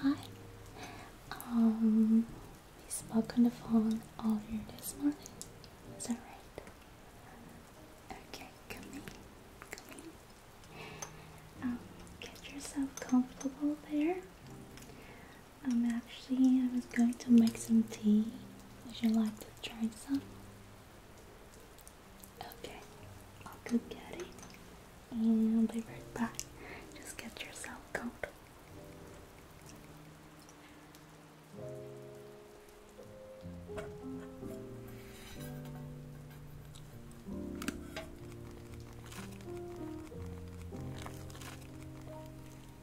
Hi. Um, we spoke on the phone earlier this morning. Is that right? Okay, come in. Come in. Um, get yourself comfortable there. I'm actually, I was going to make some tea. Would you like to try some? Okay, I'll go get it and i be right back. Just get yourself cold.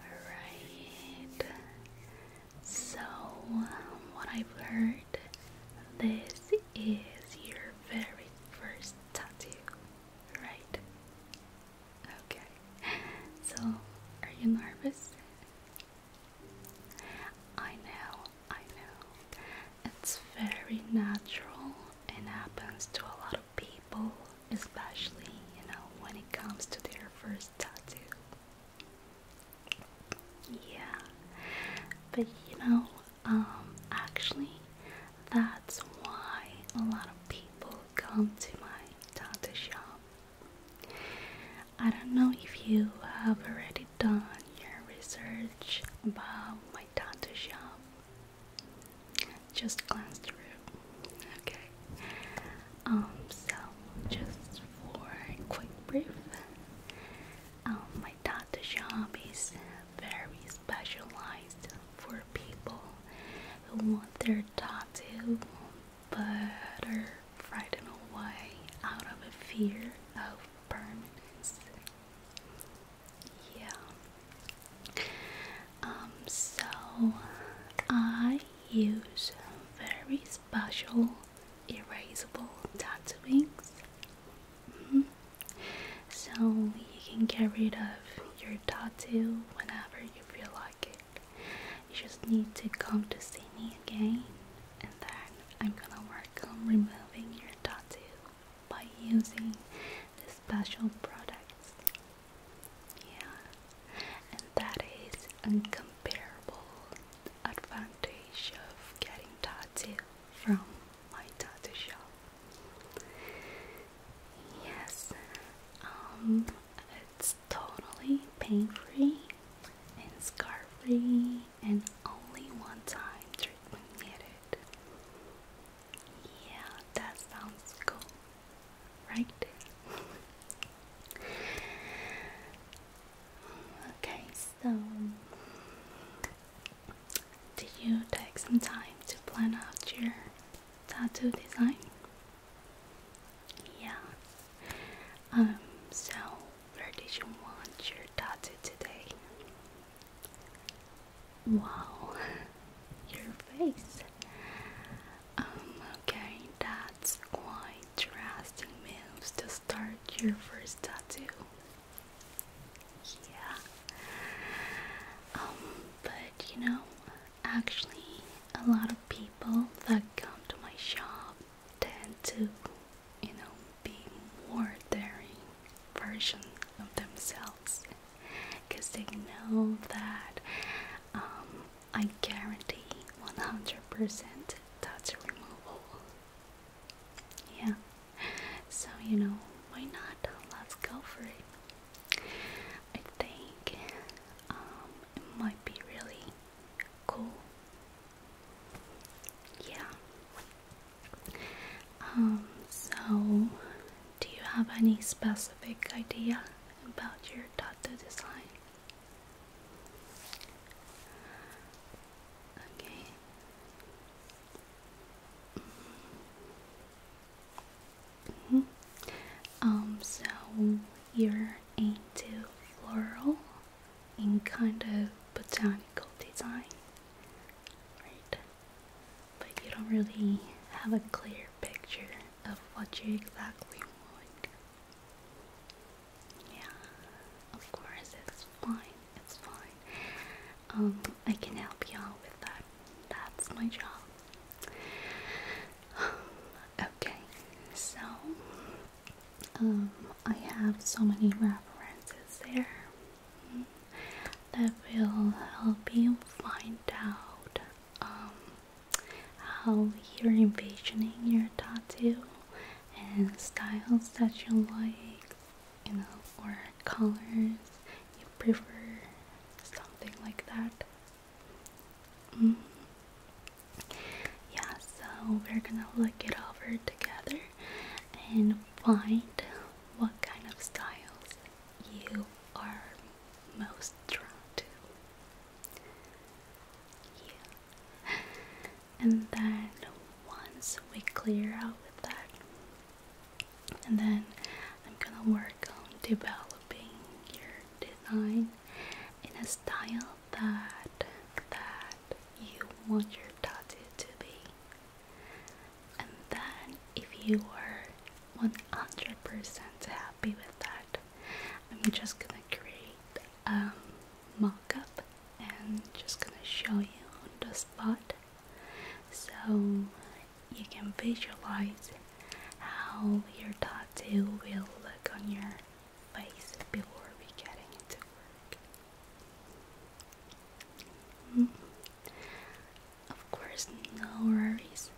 Alright, so um, what I've heard, this is your very first tattoo, right? Okay, so are you nervous? I know, I know. It's very natural and happens to a lot of people, especially, you know, when it comes to their first tattoo. Yeah, but you know, um, actually, that's why a lot of people come to my tattoo shop. I don't know if you have already done your research about my tattoo shop, just glanced through. Okay. Um. So, just for quick brief, um, my tattoo shop is very specialized for people who want their tattoo but are frightened away out of a fear of permanency. Yeah. Um. So I use very special erasable tattoos. Mm-hmm. So you can get rid of your tattoo whenever you feel like it. You just need to come to see me again I'm gonna work on removing your tattoo by using the special products. Yeah, and that is incomparable advantage of getting tattoo from my tattoo shop. Yes, um, it's totally pain free and scar free and only one time yeah, that sounds cool, right? okay, so did you take some time to plan out your tattoo design? Yeah. Um, so where did you want your tattoo today? Wow, your face. Um, okay, that's quite drastic moves to start your first tattoo. Yeah. Um, but you know, actually, a lot of people that come to my shop tend to you know, be more daring version of themselves because they know that um, I guarantee 100% tattoo removal. Yeah, so you know, why not? Let's go for it. I think um, it might be really cool. Yeah. Um, so, do you have any specific idea about your tattoo design? Okay. Mm-hmm. Um, so you're into floral in kind of botanical design, right? But you don't really have a clear picture of what you exactly want. Yeah, of course, it's fine, it's fine. Um, I can help you out with that. That's my job. Okay, so um, I have so many references there that will help you find out um, how you're envisioning your tattoo and styles that you like, you know, or colors you prefer, something like that. Mm-hmm. Yeah, so we're gonna look it over together and find what kind of styles you are most drawn to. And then once we clear out with that, and then I'm gonna work on developing your design in a style that that you want your tattoo to be and then if you are 100% happy with that I'm just gonna create a mockup and just gonna show you on the spot so you can visualize how your tattoo will look on your face before we get into work Mm. Of course, no worries.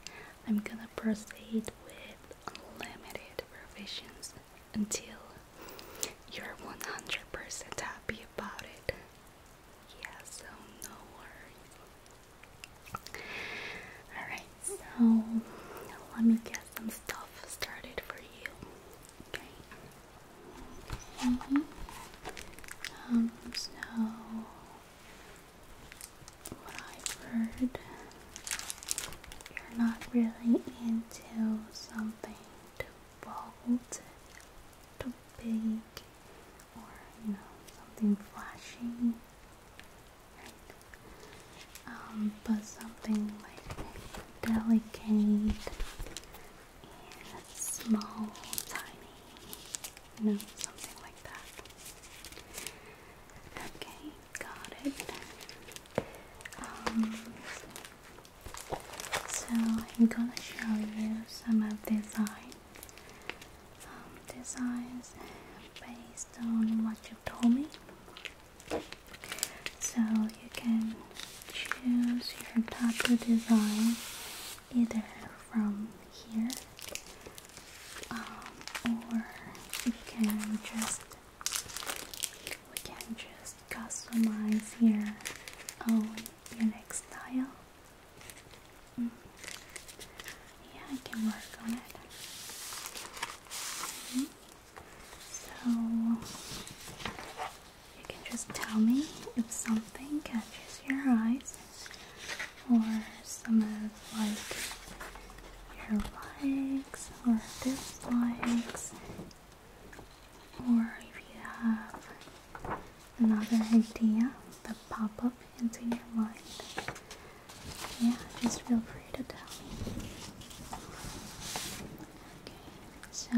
I'm gonna proceed with unlimited revisions until you're 100% happy about it. Yeah, so no worries. Alright, so let me get some stuff started for you. Okay. Mm-hmm. Um, so what I've heard, you're not really into something too bold, too big, or you know, something flashy, um, but something like delicate small, tiny, you know, something like that. Okay, got it. Um, so I'm gonna show you some of design, um, designs based on what you told me. So you can choose your tattoo design either from here um, or you can just we can just customize your own unique style mm. yeah I can work on it mm-hmm. so you can just tell me if something catches your eyes or some of like your likes or dislikes or if you have another idea that pop up into your mind. Yeah, just feel free to tell me. Okay, so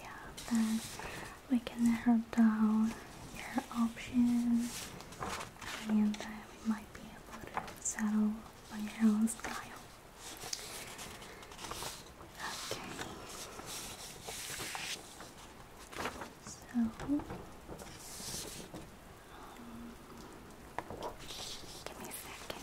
yeah, that we can narrow down your options and uh, we might be able to settle on your own Okay. So um, give me a second.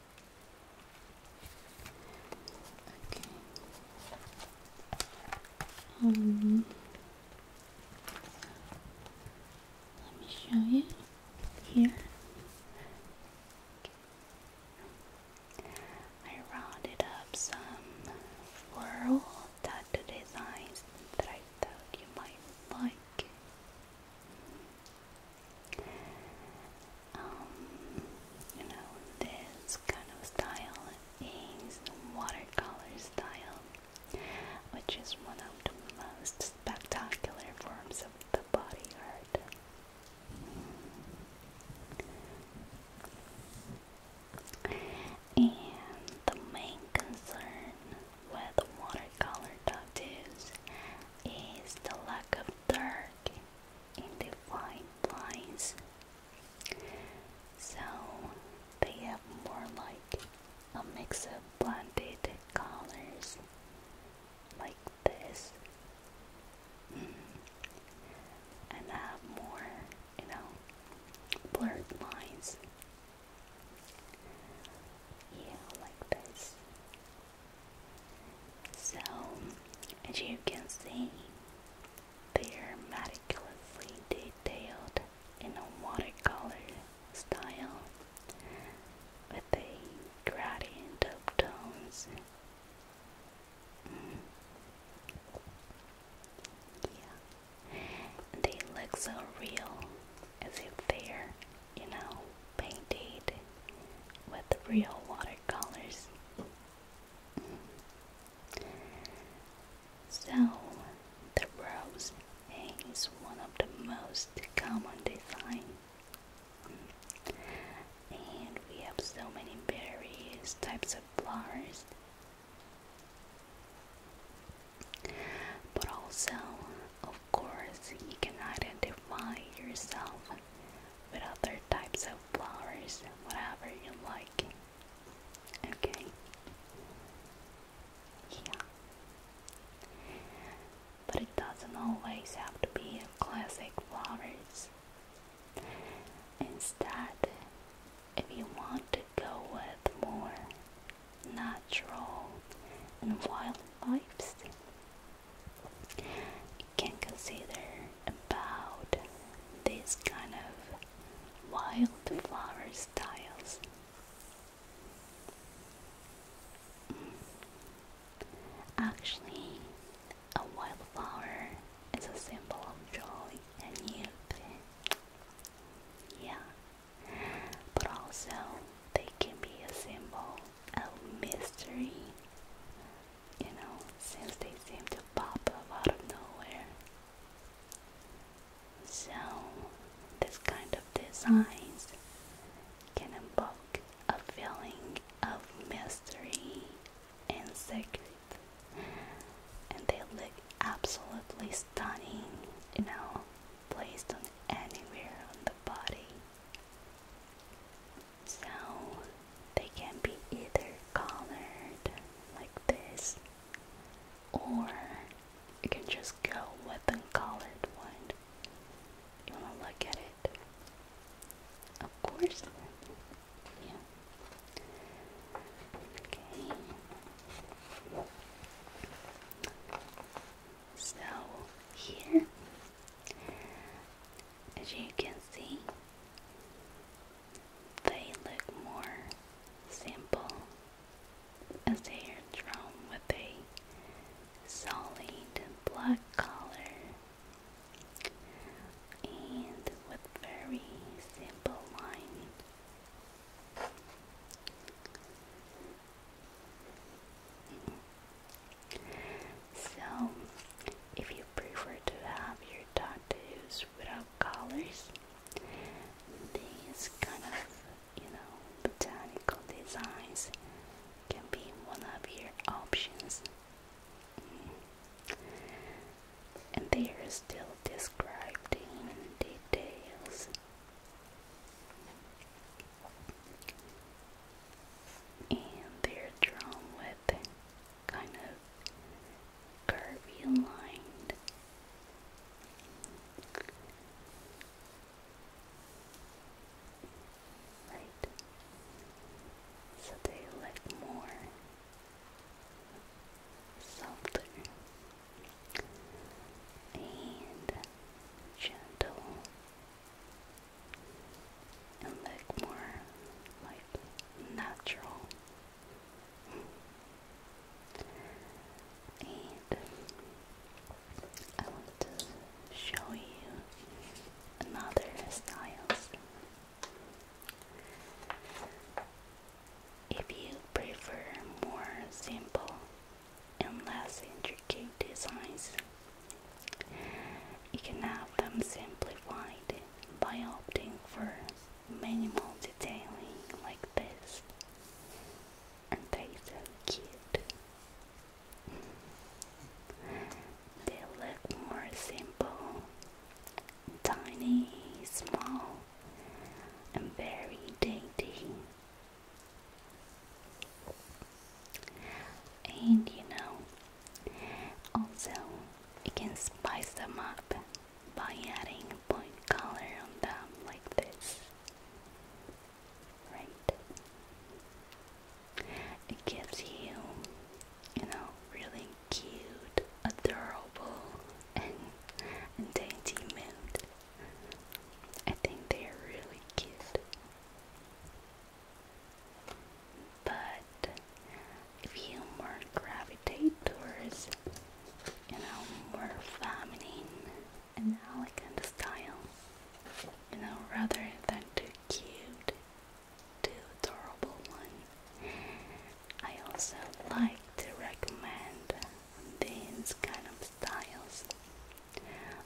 Okay. Um, let me show you here. I rounded up some floral tattoo designs that I thought you might like. Um, you know, this kind of style is watercolor style, which is one of the most spectacular forms of the body art. And the main concern with watercolor tattoos is the lack of dirt in the fine lines. So they have more like a mix of blended colors like this hmm. and have more, you know, blurred lines. Yeah, like this. So, as you can see, they're meticulously detailed in a watercolor style with a gradient of tones. Mm. Yeah, they look so real as if they're you know, painted with real watercolors. So, the rose is one of the most common design. And we have so many various types of flowers. But also of course, you can identify yourself with other types of flowers, whatever you like. Okay? Yeah. But it doesn't always have to be classic flowers. Instead, if you want to go with more natural and wildlife, you can consider about this kind of wildflower styles. Mm. Actually, a wildflower is a symbol of joy and youth. Yeah, but also they can be a symbol a mystery. You know, since they seem to pop up out of nowhere. So, this kind of designs can evoke a feeling of mystery and secret, and they look absolutely stunning, you know, placed on anywhere on the body. So they can be either colored like this or you can just go with the colored one. You wanna look at it? Of course. Yeah. Okay. So here, as you can see, they look more simple as they are drawn with a solid black color and with very simple line. So, if you prefer to have your tattoos without colors, these kind of, you know, botanical designs can be one of your options. Mm. And they are still described in details and they're drawn with kind of curvy lines, right so they look more softer and gentle and look more like natural. And I want to show you another styles. If you prefer more simple and less intricate designs, you can have them simplified by opting for minimal detailing like this, and they so cute. They look more simple, tiny, small, and very dainty and you know also you can spice them up by adding point color on them like this right it gives you you know really cute adorable and, dainty mood I think they are really cute but if you more gravitate towards, you know, more feminine elegant style, you know, rather than too cute, too adorable one, I also like to recommend these kind of styles,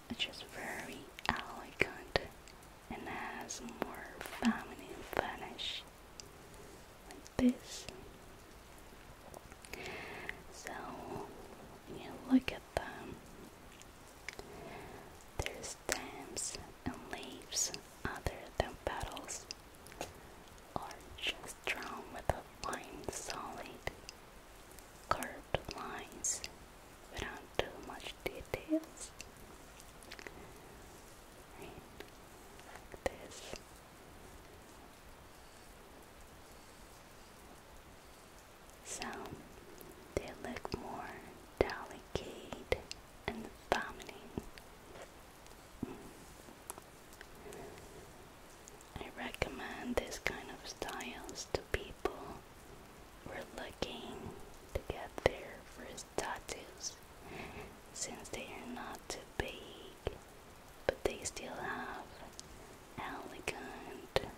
which is very elegant and has more feminine finish like this. So you look at them. there's stems and leaves, other than petals, are just drawn with a solid, curved lines without too much details. Like this. So they look more delicate and feminine. I recommend this kind of styles to people we're looking to get their first tattoos since they are not too big, but they still have elegant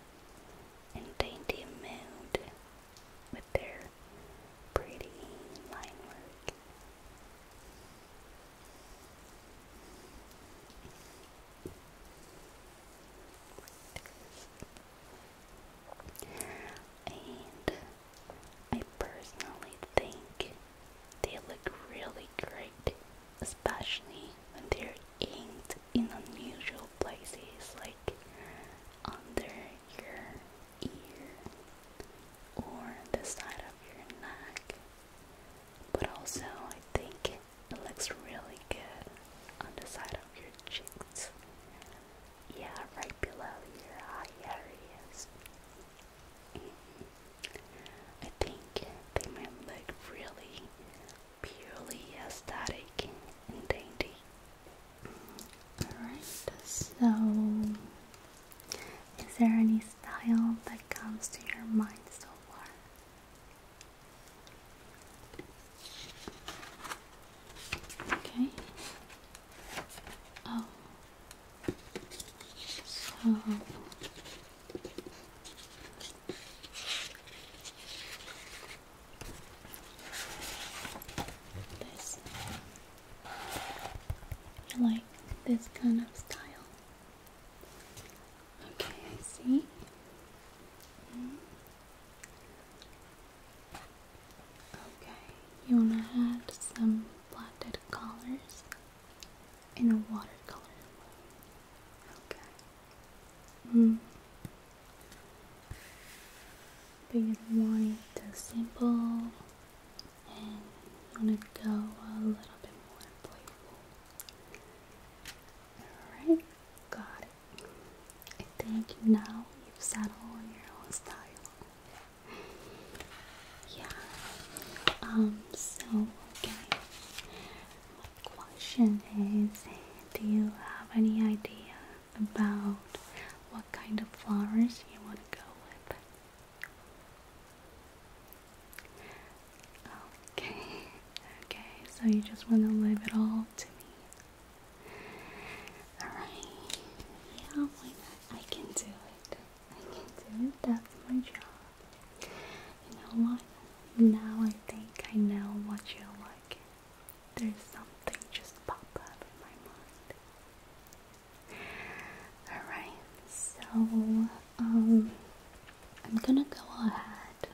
and dainty mood with their pretty line work and I personally think they look really great, especially when they're inked in unusual places like under your ear or the side of your neck. But also, I think it looks really good on the side of your cheeks. Yeah, right below your eye areas. Mm I think they might look really purely aesthetic and dainty. Mm-hmm. Alright, so is there any style that comes to your mind so far? Okay. Oh. So. This. I like this kind of style. Okay, I see. Mm-hmm. Okay, you wanna add some blotted colors in a watercolor Okay. Mm. But you want it to simple and you wanna go a little bit more playful. Alright, got it. I think now you've settled on your own style. Yeah. Um. So okay. My question is, do you have any idea about what kind of flowers you want to go with? Okay. Okay. So you just want to leave it all to me. Alright. Yeah, why not? I can do it. I can do it. That's my job. You know what? Now I think I know what you like. There's something just pop up in my mind. Alright, so um I'm gonna go ahead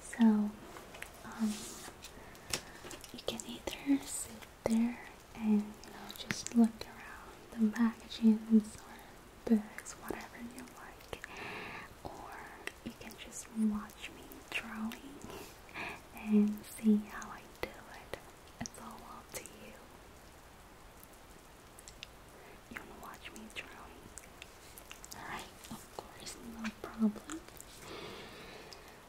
so um, you can either sit there and you know just look around the magazines or books, whatever you like, or you can just watch me drawing and see how I do it. It's all up to you. You wanna watch me drawing? Alright, of course, no problem.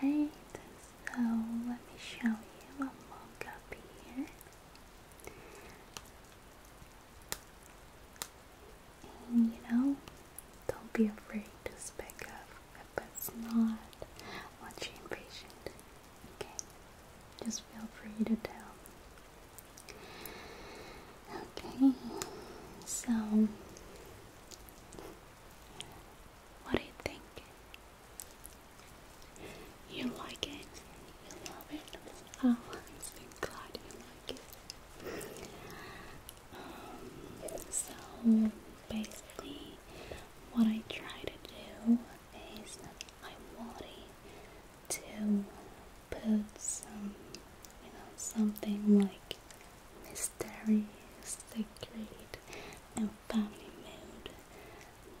Alright, so let me show you a look up here you know, don't be afraid to speak up if it's not what you're impatient. Okay? Just feel free to tell. Okay, so what do you think? You like it? You love it? Oh, I'm so glad you like it so basically, what I try to do is I want to put some, you know, something like mystery, secret, and family mood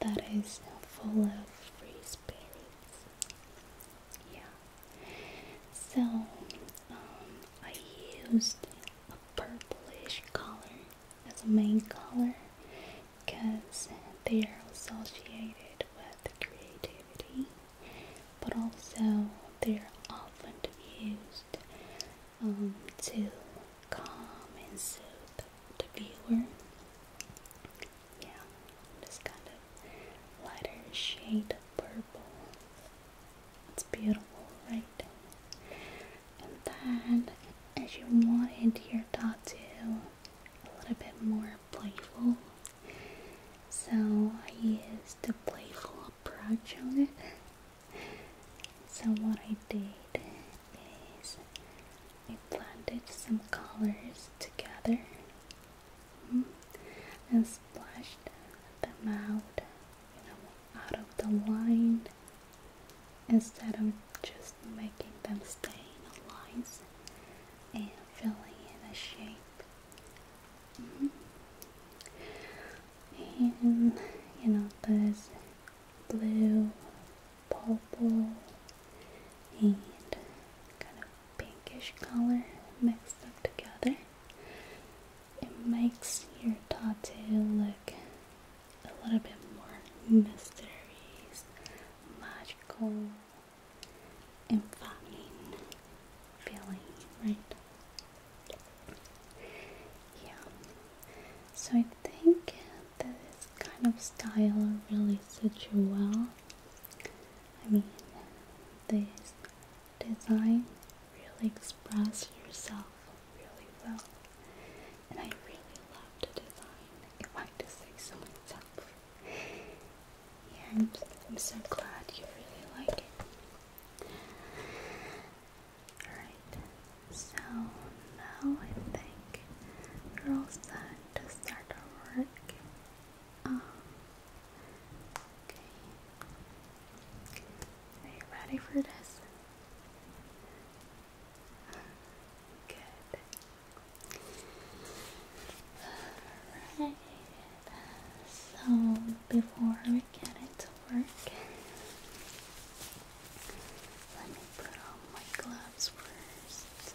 that is full of free spirits. Yeah. So, um, I used a purplish color as a main color because they are associated with creativity, but also they're often used um, to calm and soothe the viewer. Yeah, this kind of lighter shade of purple it's beautiful, right? And then, as you wanted your tattoo a little bit more playful, so I used a playful approach on it. So what I did is I blended some colors together mm-hmm, and splashed them out out of the wine instead of just making them stay in lines and filling in a shape. Mm-hmm. And you know, this blue, purple, and kind of pinkish color mixed up together it makes your tattoo look a little bit more mysterious, magical, and fun feeling, right? Yeah. So I think that this kind of style really suits you well. I mean, this design really express yourself really well. And I really love to design, if I had to say Yeah, I'm, I'm so glad you really like it. Alright, so now I think we're all set to start our work. Um, Okay. Are you ready for this? Good. Alright. So before we get into work, let me put on my gloves first.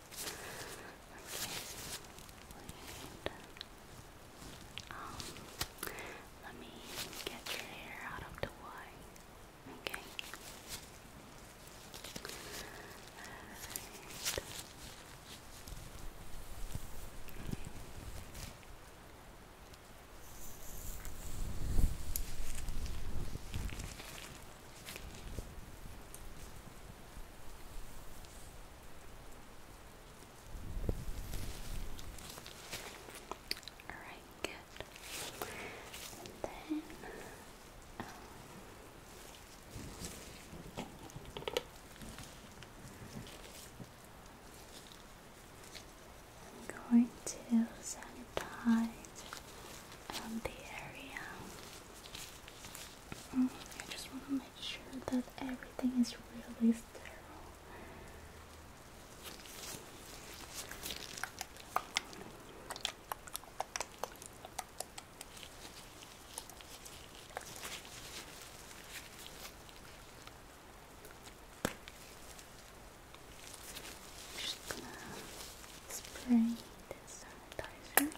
Um, let me get your hair out of the way. Okay. Alright, good. then I'm going to sanitize um, the area. I just want to make sure that everything is really sterile. just gonna spray this sanitizer.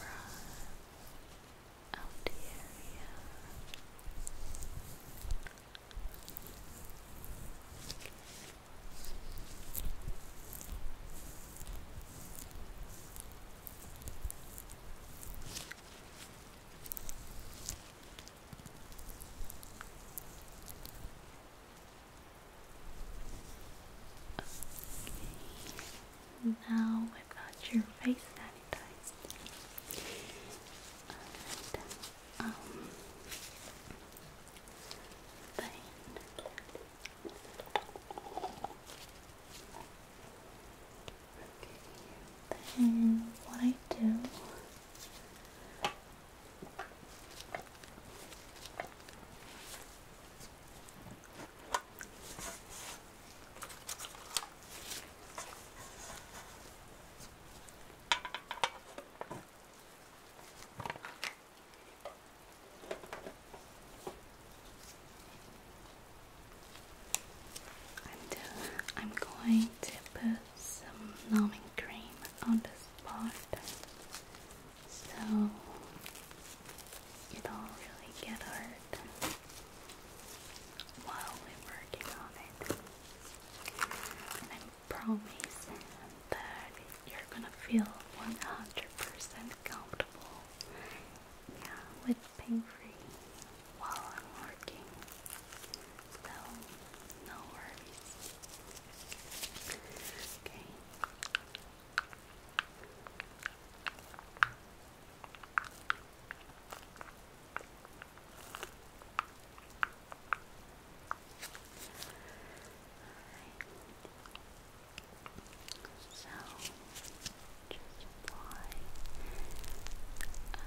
Run out the area. Now we've got your face sanitized. And, um, then then what I do uh, I'm going to put some numbing cream on this spot. so you don't really get hurt while we're working on it. And I promise that you're gonna feel 100% comfortable yeah, with pain free while I'm working. So, no worries. Okay. So just apply uh, this layer. Um,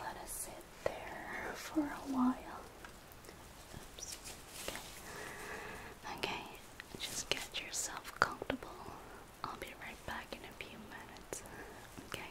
Let us sit there for a while. Okay. okay, just get yourself comfortable. I'll be right back in a few minutes. Okay?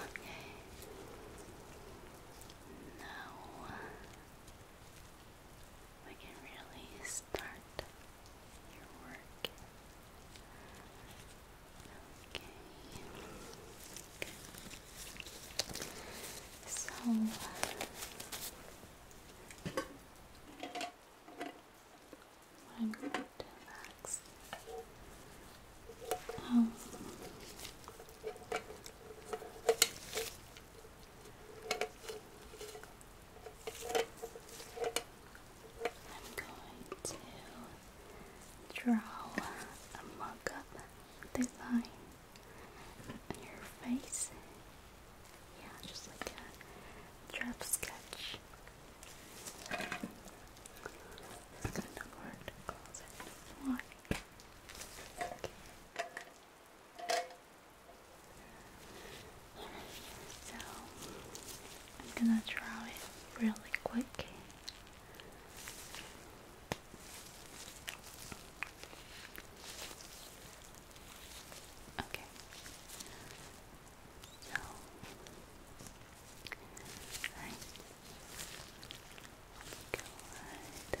Okay. Now we can really start your work. Okay. Good. So I'm going to relax. Um, I'm going to draw a mock-up design on your face. Yeah, just like a drop sketch. It's kind of hard to close it. Like. Okay. So I'm gonna draw it really quick. Okay. So, right. Go ahead. Good.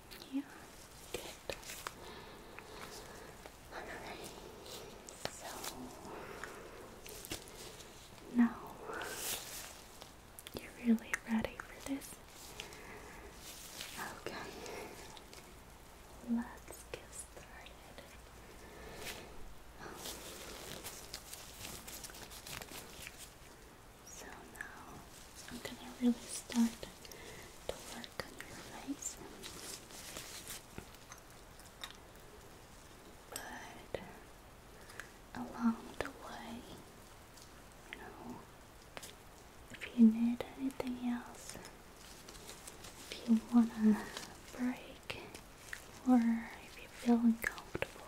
Yeah, good. Alright, so now you're really ready for this. Okay, let's get started. So now I'm gonna really start to work on your face. But along the way, you know, if you need anything else, if you want to break, or if you feel uncomfortable,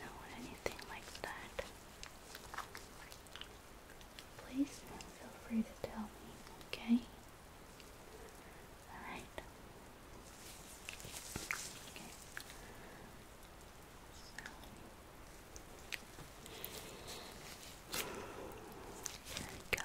no, anything like that, please feel free to tell me, okay? Alright. Okay. So we go.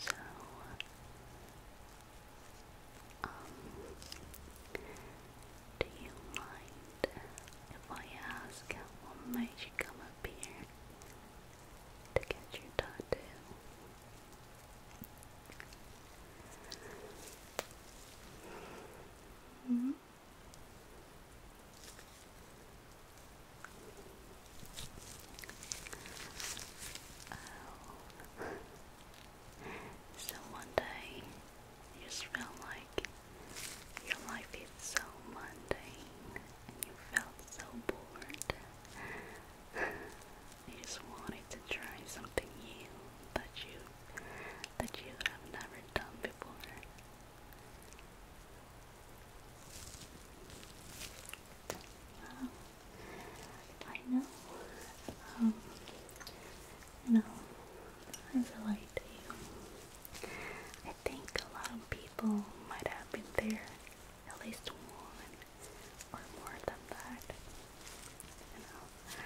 So, um, do you mind if I ask what made you come up here to get your tattoo? Mm-hmm. Oh. so one day you just feel like your life is so mundane and you felt so bored. you just wanted to try something new that you that you have never done before. I know, you um, know, I relate to I think a lot of people might have been there, at least one or more than that. You know,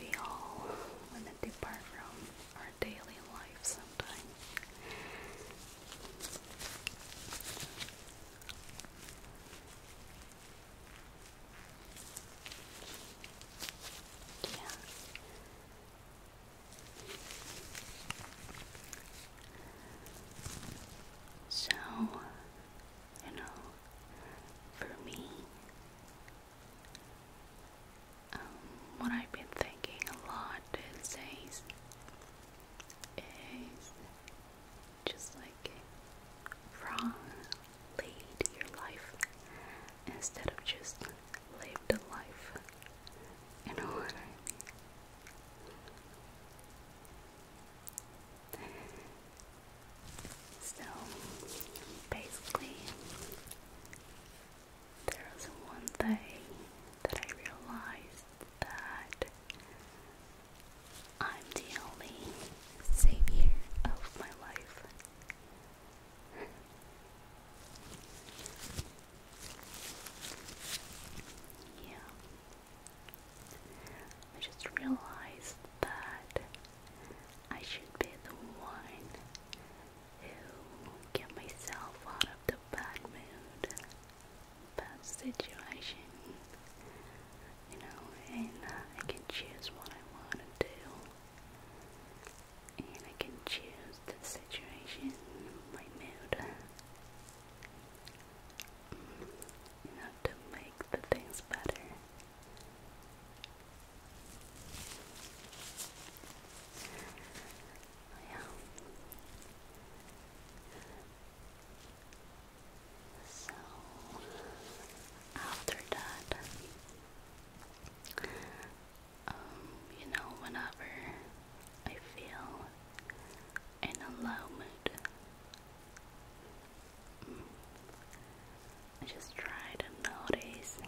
we all want to depart from our daily life sometimes. Yeah. So, you know, for me, um, what I've been thinking a lot these days is just like wrongly your life instead of just live the life. You know what I mean? So basically, there was one day that I realized that I'm the only savior of my life. yeah. I just realized that I should be the one who get myself out of the bad mood bad situation, you know, and I can choose what I want to do, and I can choose the situation, my mood, you to make the things better. Yeah. So after that, um, you know, whenever I feel in a low mood, mm, I just try to notice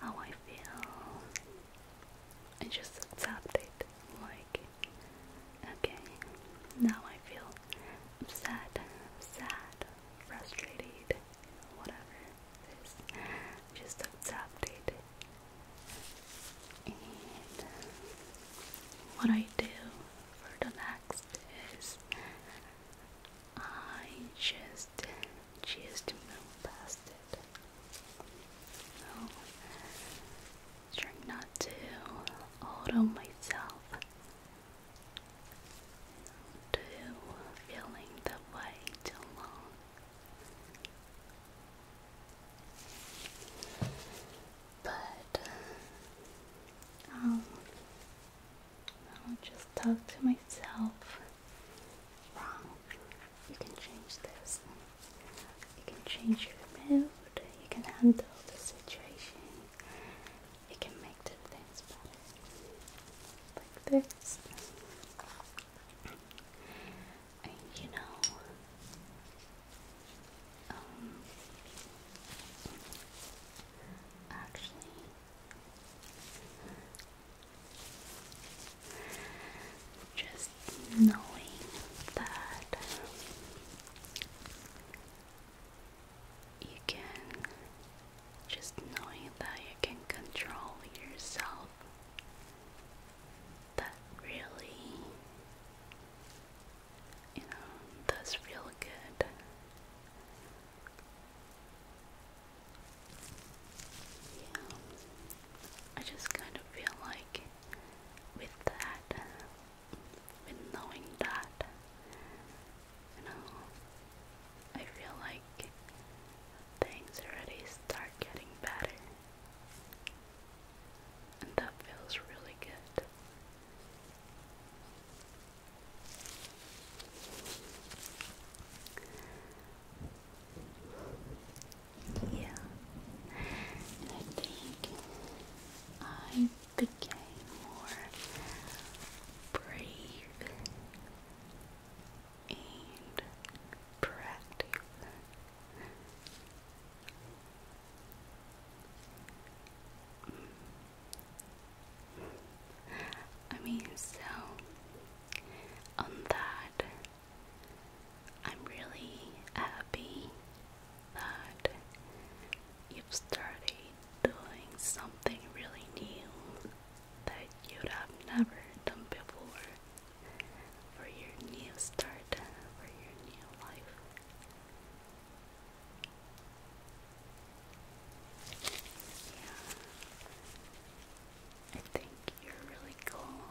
how I feel and just accept it. Like like. Okay, now I feel upset, sad, frustrated, you whatever it is. Just accept And what I do for the next is I just choose to move past it trying not to auto myself to feeling that way too long. But um, I'll just talk to myself wrong. You can change this. You can change your mood, you can handle the situation, you can make the things better. Like this. And you know, um, actually, just knowing that you can just knowing that you can control yourself that really you know does feel good yeah I just kind of feel like with that with knowing that, you know, I feel like things already start getting better. And that feels really good. Yeah, and I think I became more brave and proactive. I mean, so on that I'm really happy that you've started doing something really new that you have never done before for your new start, for your new life. I think you're really cool.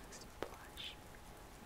Splash. Splash.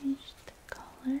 Change the color.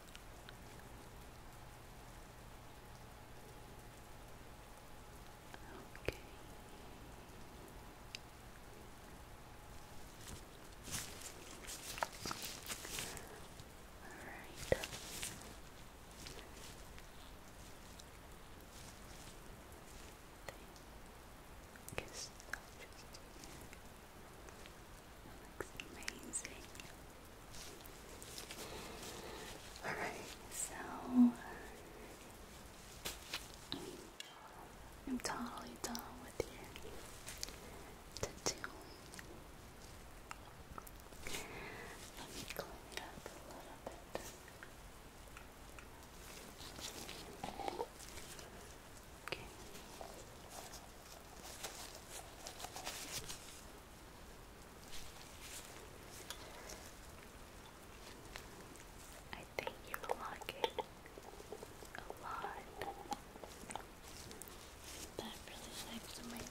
Okay. All right. Guess that looks amazing. Alright, so I'm totally done with your tattoo. Let me clean up a little bit. Okay. I think you like it a lot. That really looks amazing.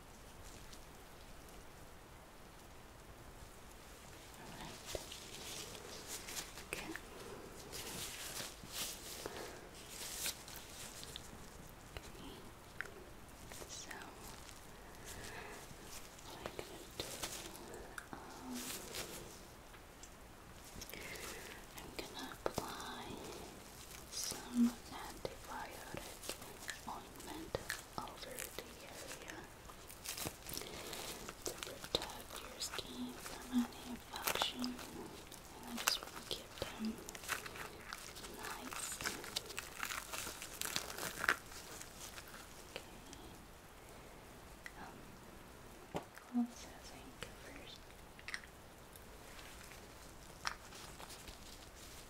So what I'm gonna do um I'm gonna apply some antibiotic ointment over the area to protect your skin from any infection. And just to keep them nice. Okay. Um, gloves I think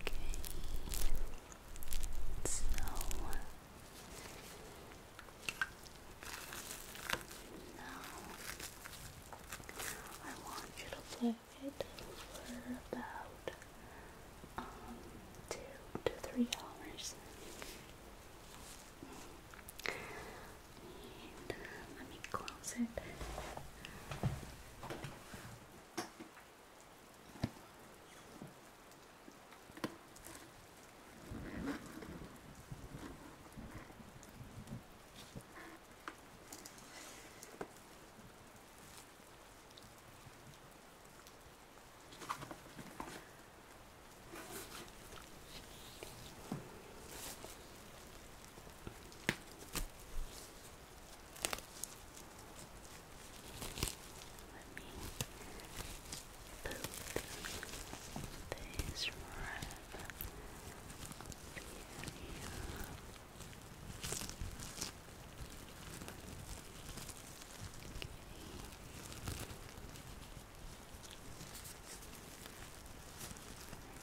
Okay. So now I want you to play it for about um, two to three hours let me close it put this right up here.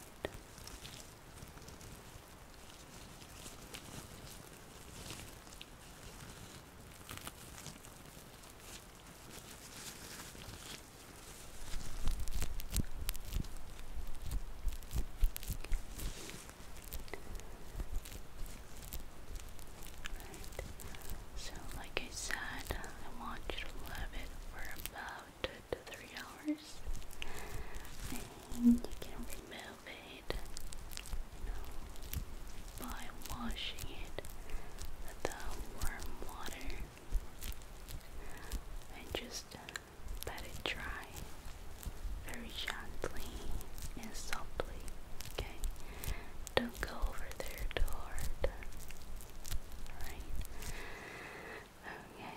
Right. So, like I said, I want you to love it for about about two to three hours, and you can remove it, by washing it with warm water and just uh, let it dry very gently and softly. Okay, don't go over there too hard. Alright, Okay,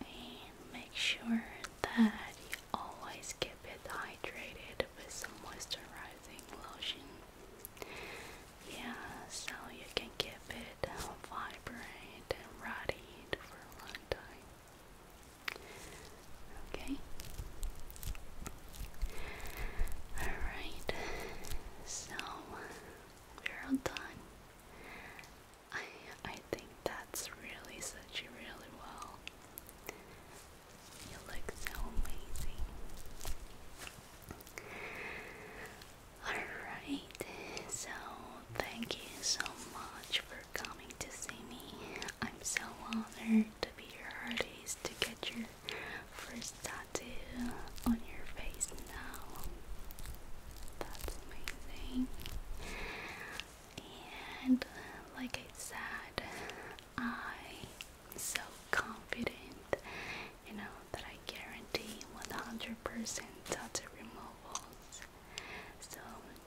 and make sure that you always keep it hydrated with some moisturizing lotion. Yeah, so you can keep it vibrant and ruddy for a long time. Okay. Alright, so we're done. I I think that's really such really well. You look so amazing. Alright, so thank you so much for coming to see me. I'm so honored to be your artist to get your first tattoo on your face now. That's amazing. And like I said, I'm so confident, you know, that I guarantee 100% tattoo removals. So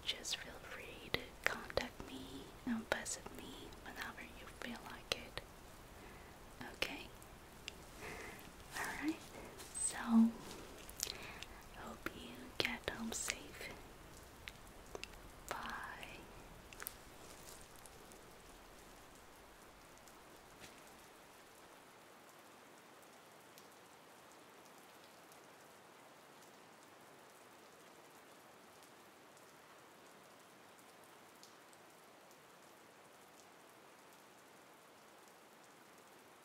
just feel free to contact me and visit me whenever you feel like it. Okay, Alright, so hope you get home safe. Bye.